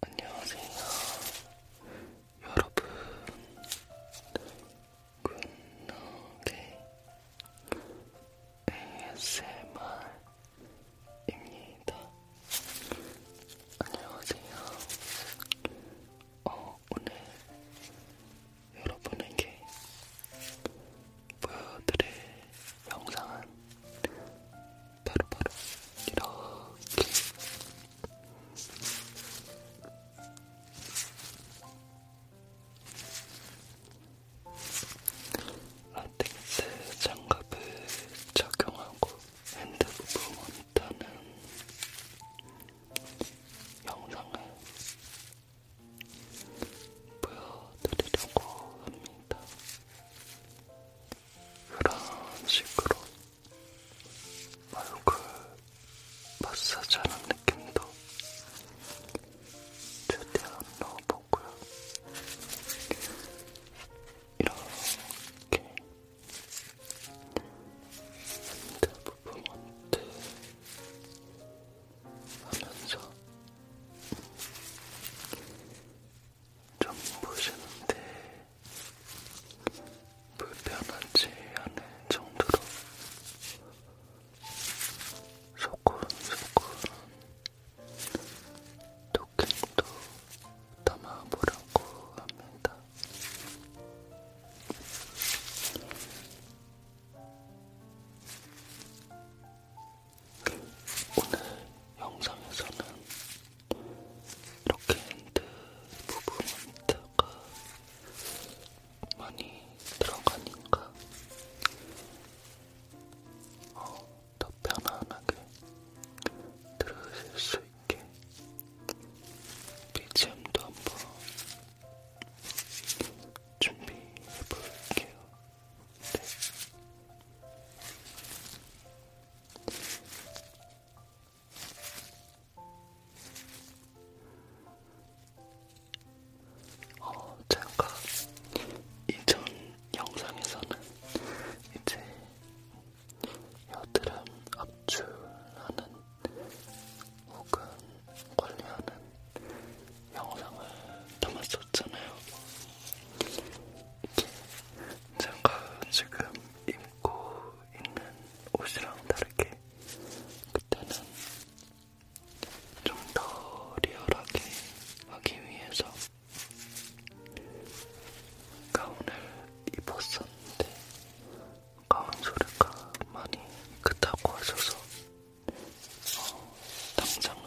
안녕하세요, 여러분. 굿노게 ASMR입니다. 안녕하세요. 어, 오늘 여러분에게 보여드릴 영상은 바로 바로 이렇게 라텍스 장갑을 착용하고 핸드폰 모니터는 영상을 보여드리려고 합니다. 그런 식으로 얼굴 마사지하는 느낌도 최대한 넣어보고요. 이렇게 핸드 부분 원트 하면서 좀 보시는데 불편하지 않을 정도로 소곤소곤 토킹도 담아보려고 합니다. 오늘 영상에서는 이렇게 핸드 부분에다가 많이 들어가니까 어, 더 편안하게 들으실 수 있게 BGM도 한번 준비해볼게요. 네. 어, 제가 이전 영상에서는 이제 여드름 압출하는 혹은 관리하는 영상을 담았었잖아요. 이렇게 제가 지금 입고 있는 옷이랑 다르게 그때는 좀 더 리얼하게 하기 위해서 가운을 입었었는데 가운 소리가 많이 크다고 하셔서 어, 당장은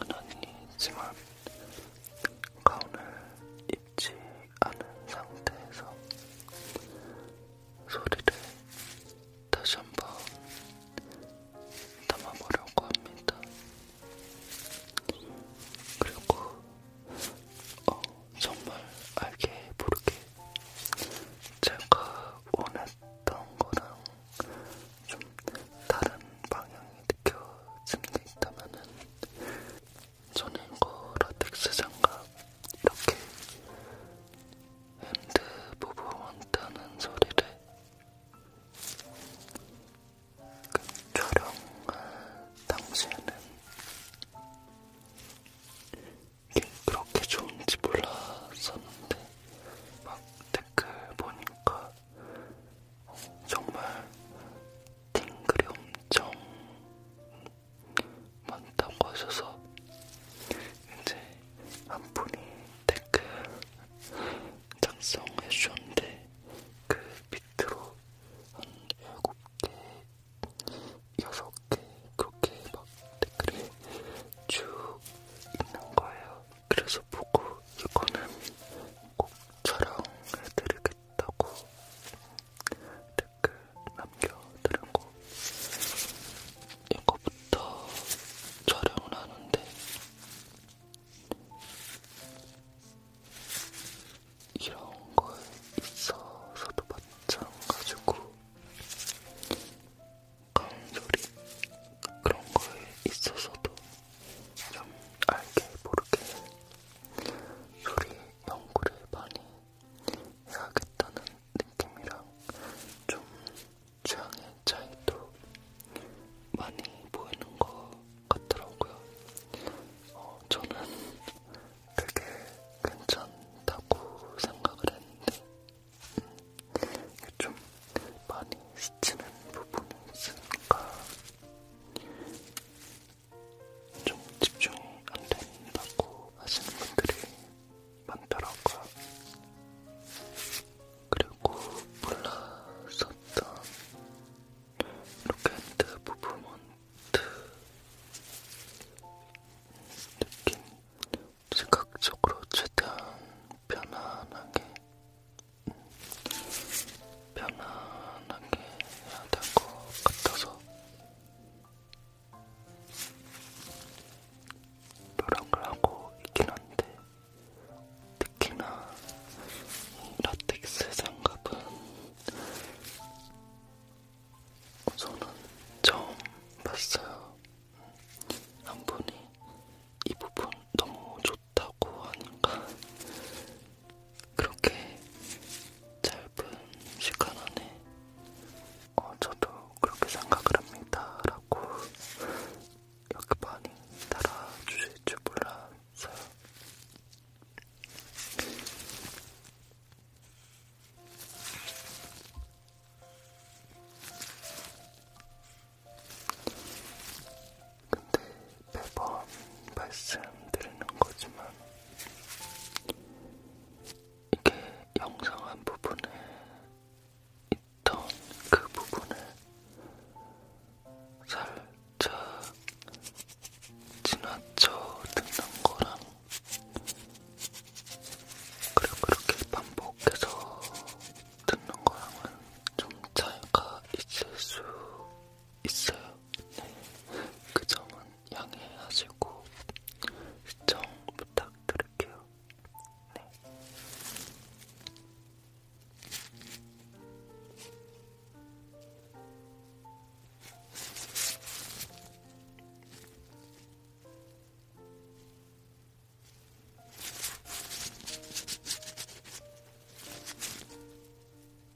아니지만 가운을 입 익지 않은 상태에서 소리를 다시 한번 담아보려고 합니다. 그리고 어, 정말 알게 모르게 제가 원했던 거랑 좀 다른 방향이 느껴지는 게 있다면은 손행거 라텍스 장갑 이렇게 핸드 부부 원다는 소리를 그 촬영할 당시에는 이게 그렇게 좋은지 몰랐었는데 막 댓글 보니까 정말 팅글이 엄청 많다고 하셔서 이제 한 분이 댓글 작성해 주셨는데 그 밑으로 한 7개, 6개 그렇게 막 댓글이 쭉 있는 거예요. 그래서 보고 이거는 꼭 촬영해드리겠다 좋겠다고 댓글 남겨드렸고 이거부터 촬영을 하는데 이런 거에 있어서도 마찬가지고 강소리 그런 거에 있어서도 좀 알게 모르게 소리 연구를 많이 해야겠다는 느낌이랑 좀 취향의 차이도 많이 보이는 것 같더라고요. 어, 저는 되게 괜찮다고 생각을 했는데 음, 좀 많이 스치는 부분이 있으니까 좀 집중이 안 된다고 하시는 분들이 많더라고요. 그리고 몰랐었던 로켓드 무브먼트 느낌 즉각적으로 최대한 편안하게 편안하게 해야 될 것 같아서 노력을 하고 있긴 한데 특히나 이 라텍스 장갑은 저는 처음 봤어요. 한 분이 이 부분 너무 좋다고 하니까 그렇게 짧은 시간 안에 어, 저도 그렇게 생각을 합니다. 라고 이렇게 많이 따라주실 줄 몰랐어요. 근데 매번 말씀드리는 거지만 이게 영상 한 부분에 있던 그 부분에 살짝 지나쳐 듣는 거랑 그리고 그렇게 반복해서 듣는 거랑은 좀 차이가 있을 수 있어요. 네. 그 점은 양해하시고 시청 부탁드릴게요. 네.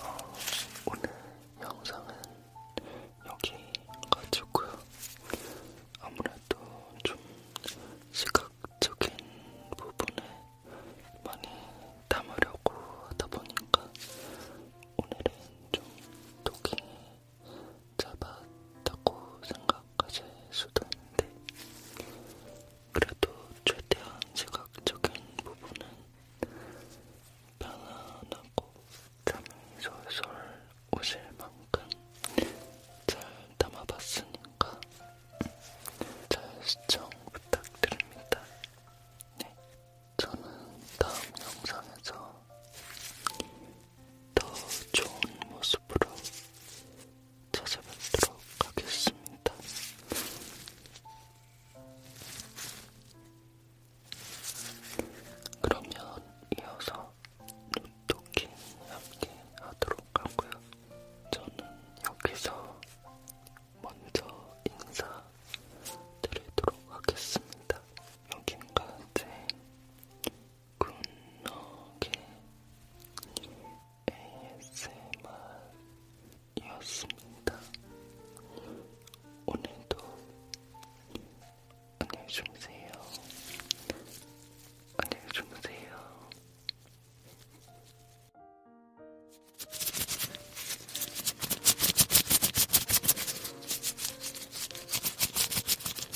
어, 오늘 영상은 여기까지고요. 아무래도 좀 시각적인 부분을 많이 담으려고 하다 보니까 오늘은 좀 독이 잡았다고 생각하실 수도 있는데, 그래도 최대한 시각적인 부분은 편안하고 잠이 솔솔 오실 만큼 잘 담아봤으니까 잘 시청 부탁드립니다. 네. 저는 다음 영상에서 더 좋은 모습으로 찾아뵙도록 하겠습니다. 그러면 이어서 눈토킹 함께 하도록 하고요. 저는 여기서 먼저 인사드리도록 하겠습니다. 여긴까지 굿노게 ASMR이었습니다. 오늘도 안녕히 주무세요. 안녕히 주무세요.